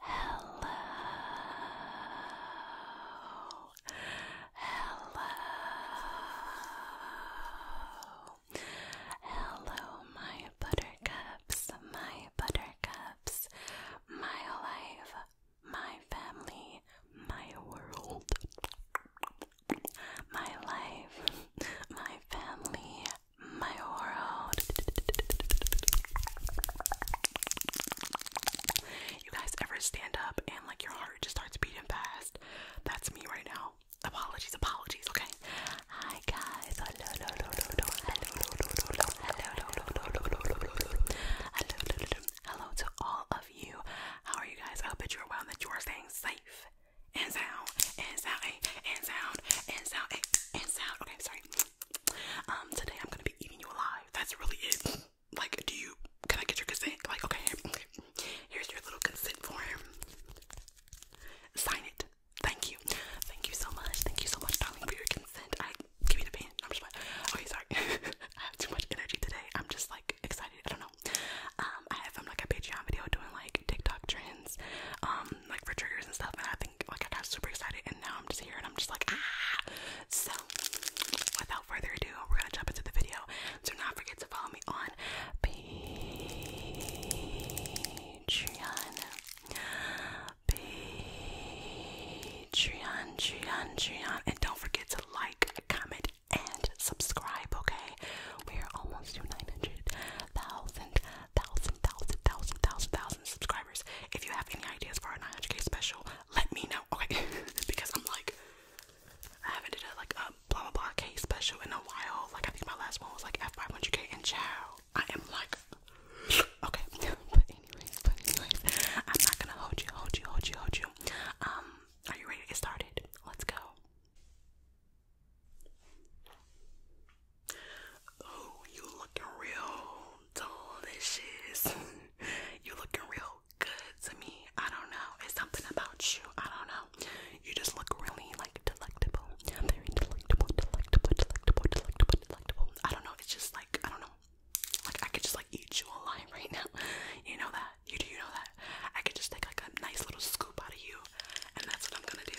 Hello. Hello. Hello, my buttercups, my buttercups, my life, my family, my world. My life, my family, my world. You guys ever stand up and like your heart just starts beating fast? That's me right now. Apologies, apologies, okay? Hi guys. Hello, hello, hello, hello, hello, hello, hello, hello to all of you. How are you guys? I hope that you are well and that you are staying safe and sound and sound and sound and sound and sound. Okay, sorry. Um, today I'm gonna be eating you alive. That's really it. Like, do you? Can I get your consent? Like, okay, Here's your little consent form. Sign it. Thank you. Thank you so much. Thank you so much, darling, for your consent. I give you the pen. I'm just like, sorry. I have too much energy today. I'm just like excited. I don't know. Um, I have um, like a Patreon video doing like TikTok trends, um, like for triggers and stuff, and I think like I got super excited and now I'm just here and I'm just like ah. So without further ado, we're gonna jump into the video. Do not forget to follow me on Patreon. Patreon, Patreon, Patreon, and don't forget to like, comment, and subscribe. Okay, we are almost to nine hundred thousand thousand, thousand, thousand, thousand, thousand subscribers. If you have any ideas for a 900k special, let me know. Okay, because I'm like, I haven't did like a blah blah blah special in a while. Like I think my last one was like at 500k and chow. I am like, okay, but anyways, but anyways, I'm not gonna hold you, hold you, hold you, hold you. Um, are you ready to get started? Let's go. Oh, you looking real delicious. you looking real good to me. I don't know. It's something about you. I don't know. You just look really like delectable. Very delectable, delectable, delectable, delectable, delectable. I don't know. It's just like I don't know. Like I could just like eat you alive right now. You know that. You do you know that? I could just take like a nice little scoop out of you, and that's what I'm gonna do.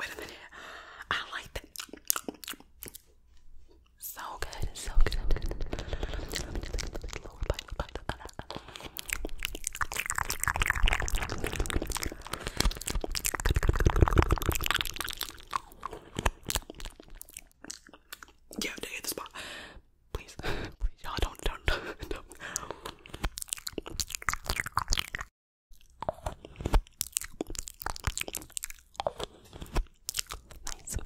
Wait a minute. I like that. So good, so good. Yeah, hit the spot. Please, please, y'all don't, don't, don't. Nice.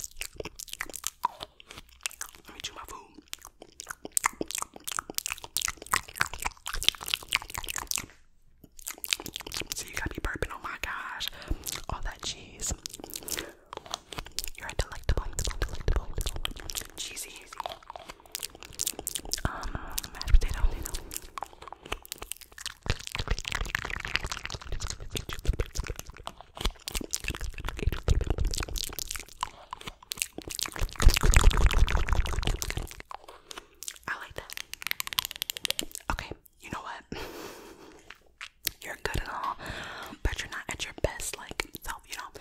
Let me chew my food. So you gotta be burping. Oh my gosh, all that cheese. You're a delectable, delectable, cheesy, um, mashed potato. I like that. Okay, you know what? you're good and all, but you're not at your best, like, so, you know,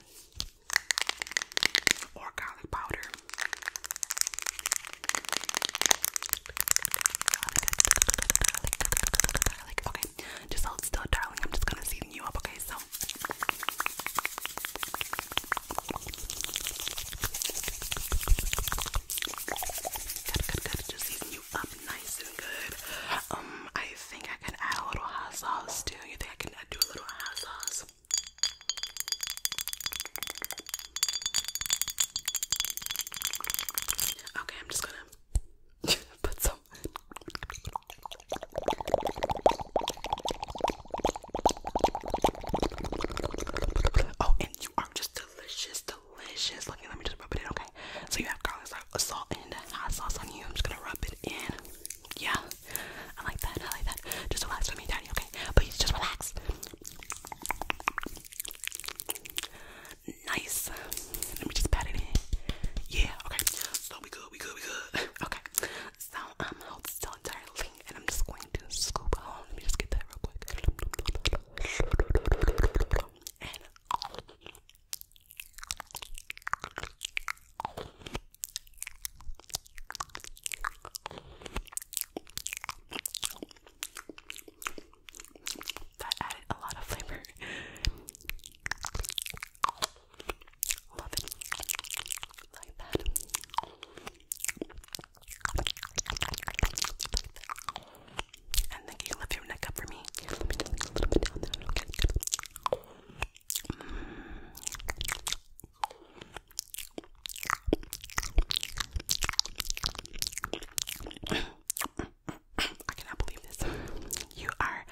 or garlic powder. Okay, just hold still, darling. I'm just gonna season you up, okay? So. Just season you up nice and good. Um, I I think I can add a little hot sauce too? You think I can do a little hot sauce? Okay, I'm just gonna put some. Oh, and you are just delicious, delicious. Look, let me just rub it in, okay? So you have garlic salt and hot sauce on you. I'm just gonna rub it in. Yeah, I like that. I like that. Just relax with me, Daddy. Okay, please just relax. Nice. Let me just pat it in. Yeah. Okay. So we good. We good. We good. okay. So I'm out still entirely, and I'm just going to scoop. let me just get that real quick. That added a lot of flavor. Love it. Like that. Like that. And then can you lift your neck up for me? I cannot believe this. You are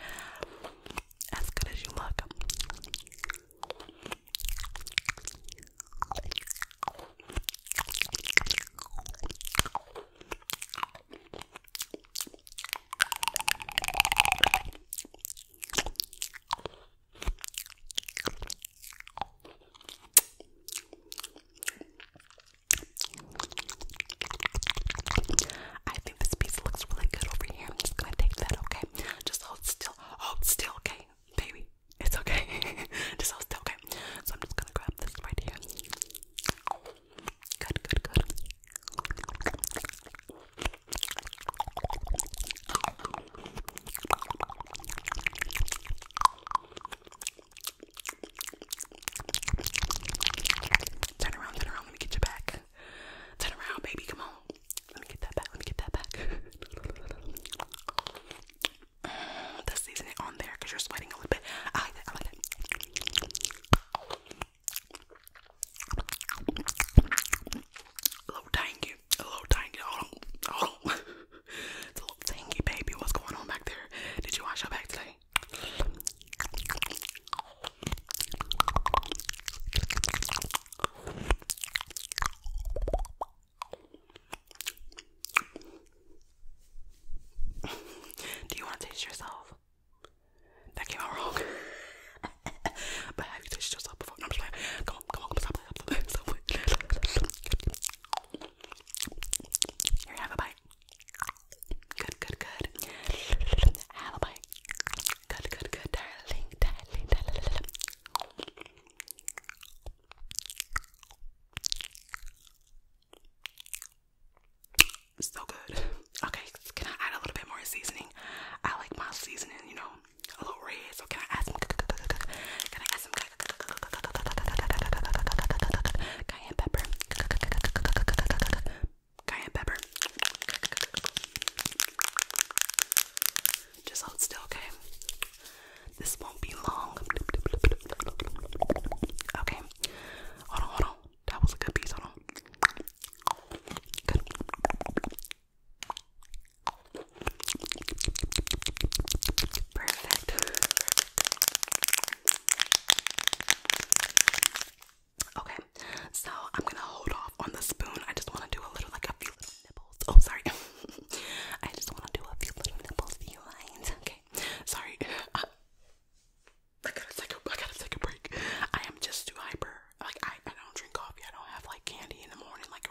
as good as you look. I think this piece looks really good over here. I'm just gonna take that, okay? Just hold still. Hold still, okay? Baby, it's okay. just hold still, okay? So I'm just gonna grab this right here. Good, good, good. Turn around, turn around, let me get you back. Turn around, baby, come on. Let me get that back, let me get that back. mm, the seasoning on there because you're sweating a little bit. I like that, I like that. A tangy, a tangy. it's a little tangy, baby. What's going on back there? Did you wash your back today? Do you want to taste yourself? That came out wrong. but have you tasted yourself before? come on, come on, come on, stop. Here, have a bite. Good, good, good. Have a bite. Good, good, good, darling, darling, darling. So good. Okay, can I add a little bit more seasoning? I like my seasoning, you know, a little red. So can I add some? Can I add some cayenne pepper? Cayenne pepper. Just hold still, okay? This won't be long. Okay. Hold on, hold on. That was a good piece. Hold on. Good. Perfect. Okay, so I'm gonna hold off on the spoon. I just want to do a little, like a few little Oh, sorry. I just want to do a few little nipples, Okay sorry. Uh, I, gotta take a break. I am just too hyper. Like I, I don't drink coffee. I don't have like candy in the morning. Like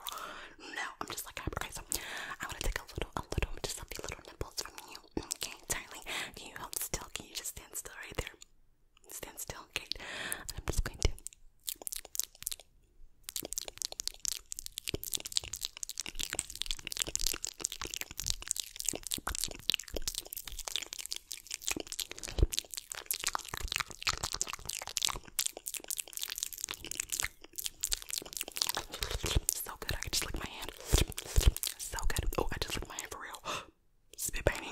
no, I'm just like hyper. Okay, so I wanna take a little, a little, just a few little nipples from you. Okay, darling, can you hold still? Can you just stand still right there? Stand still, okay. I'm just going to. So good, I can just lick my hand. So good. Oh, I just licked my hand for real. Spit painting.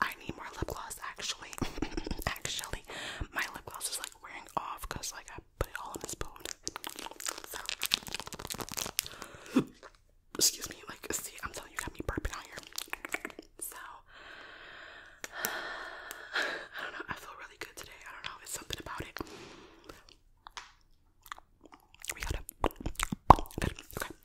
I need more lip gloss actually. actually, my lip gloss is like wearing off because like I put it all in a spoon. Excuse me, like, see, I'm telling you, got me burping out here. So, I don't know, I feel really good today. I don't know, it's something about it. We got it.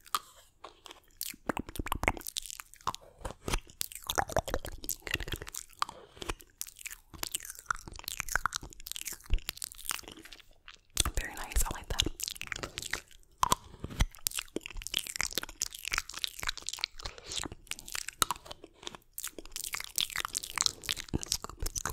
Very nice, I like that. Scoop, scoop, scoop, scoop.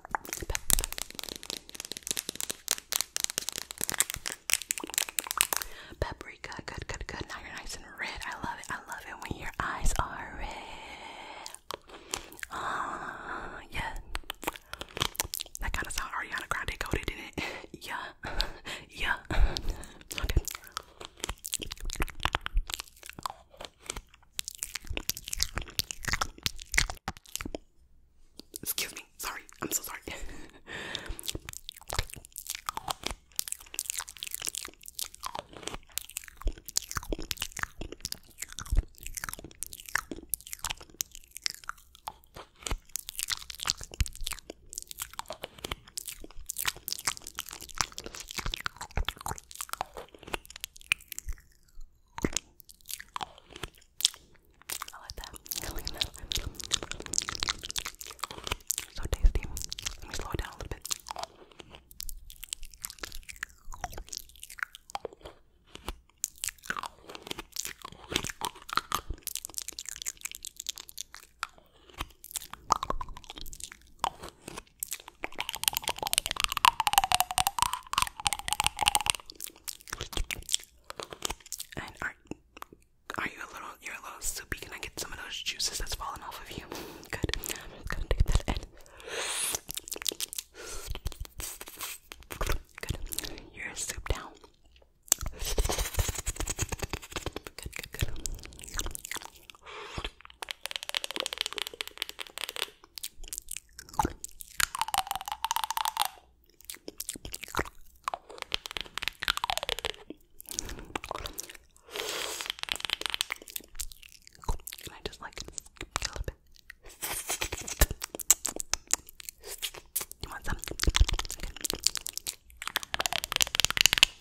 Paprika, good, good, good. Now you're nice and red. I love it. I love it when your eyes are red. Ah, yeah. That kind of sound Ariana Grande coded, did it? yeah, yeah. okay. Excuse me. Sorry. I'm so sorry. I like that. I like that. So tasty. Let me slow it down a little bit. And are you a little you're a little soupy? Can I get some of those juices that's fallen off of you? Good. I'm gonna take that in. Good. You're souped down. Good, good, good. Can I just like a little bit? You want some? Okay.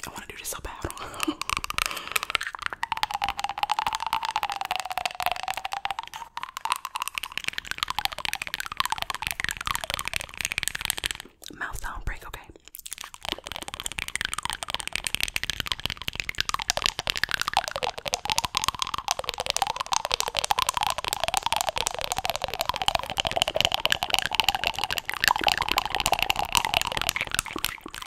I want to do this so bad cavolo Mouth sound break, okay.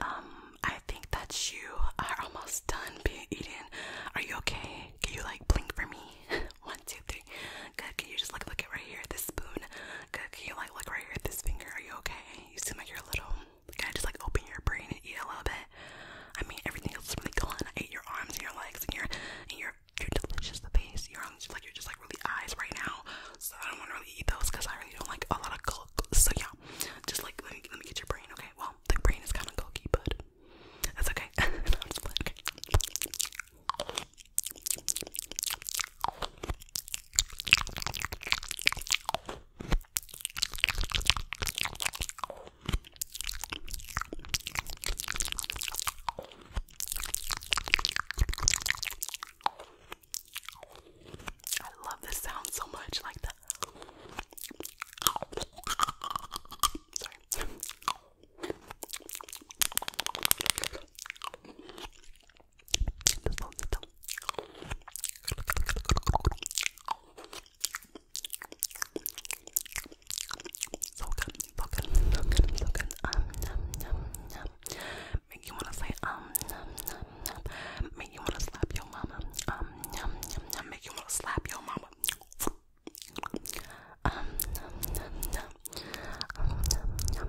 Um, I think that you are almost done being eaten. Are you okay? Can you like blink for me? One, two, three. Good. Can you just like look at right here at this spoon? Good. Can you like look right here at this finger? Are you okay? You seem like you're a little. Can I just like open your brain and eat a little bit? I mean, everything else is really gone. I ate your arms and your legs and your and your you're delicious the base. You're on, like you're just like really eyes right now. So I don't want to really eat those because I really don't like a lot of cook. So yeah, just like let me let me get your brain. Okay, well the brain is kind of cookie, but that's okay. no, I'm just Okay. I love this sound so much, like the sorry. So good, so good, so good, so good. Um, num, num, num. Make you wanna say um, num, num, num. Make you wanna slap your mama. Um, num, num, num. Make you wanna slap your mama. Um, num, num, num. Um, num, num.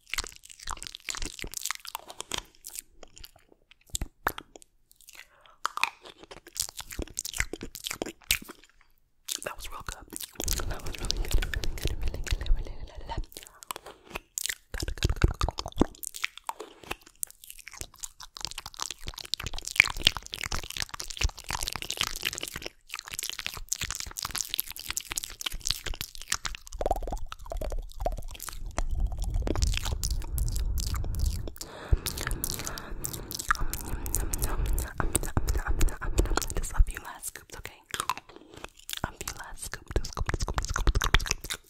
That was real good. That was really good. Really good. Really good. Really, really, really, really. Good, good, good, good, good. Just a few last scoops, okay? A few last scoops, scoop, scoop, scoop, scoop, scoop.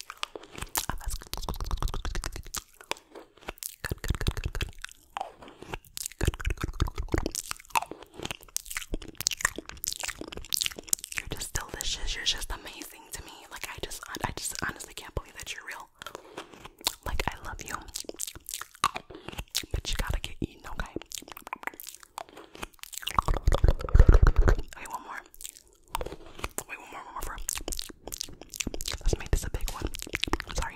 Good, good, good, good, good. Good, good, good, good, good. You're just delicious. You're just amazing to me. Like I just, I just honestly can't believe that you're real. Like I love you, but you gotta get eaten, okay? Okay, one more. Wait, one more, one more. For Let's make this a big one. sorry.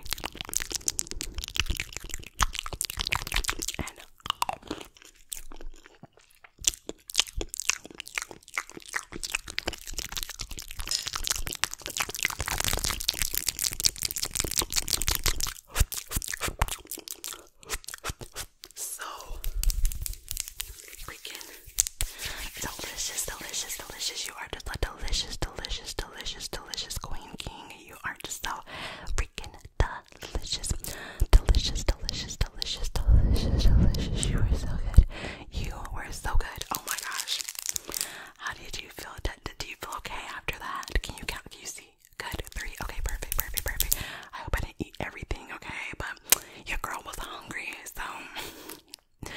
So freaking delicious, delicious, delicious. You are just a delicious, delicious, delicious, delicious queen king. You are just so freaking delicious delicious, delicious, delicious, delicious, delicious, delicious. You were so good. You were so good. Oh my gosh. How did you feel? Do you feel okay after that? Can you count? Can you see? Good. Three. Okay, perfect, perfect, perfect. I hope I didn't eat everything, okay? But your girl was hungry, so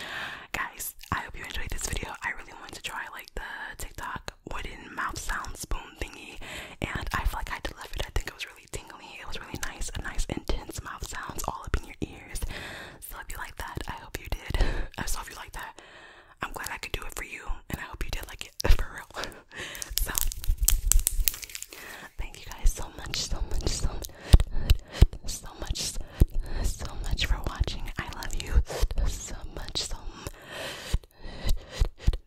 guys, I hope you enjoyed this video. I really wanted to try like the TikTok wooden mouth sound spoon thingy, and I feel like I delivered. I think it was really tingly. It was really nice, a nice intense mouth sounds all up in your ears. So if you like that, I hope you did. so if you like that, I'm glad I could do it for you, and I hope you did like it for real. so thank you guys so much, so much, so much, so much, so much for watching. I love you so much, so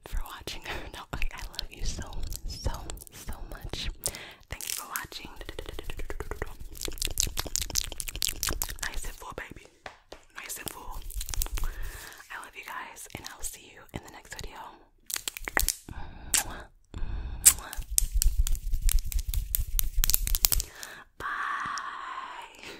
for watching. No, I love you so, so, so much. Thank you for watching. Nice and full, baby. Nice and full. I love you guys, and I'll see you in the next video. Bye.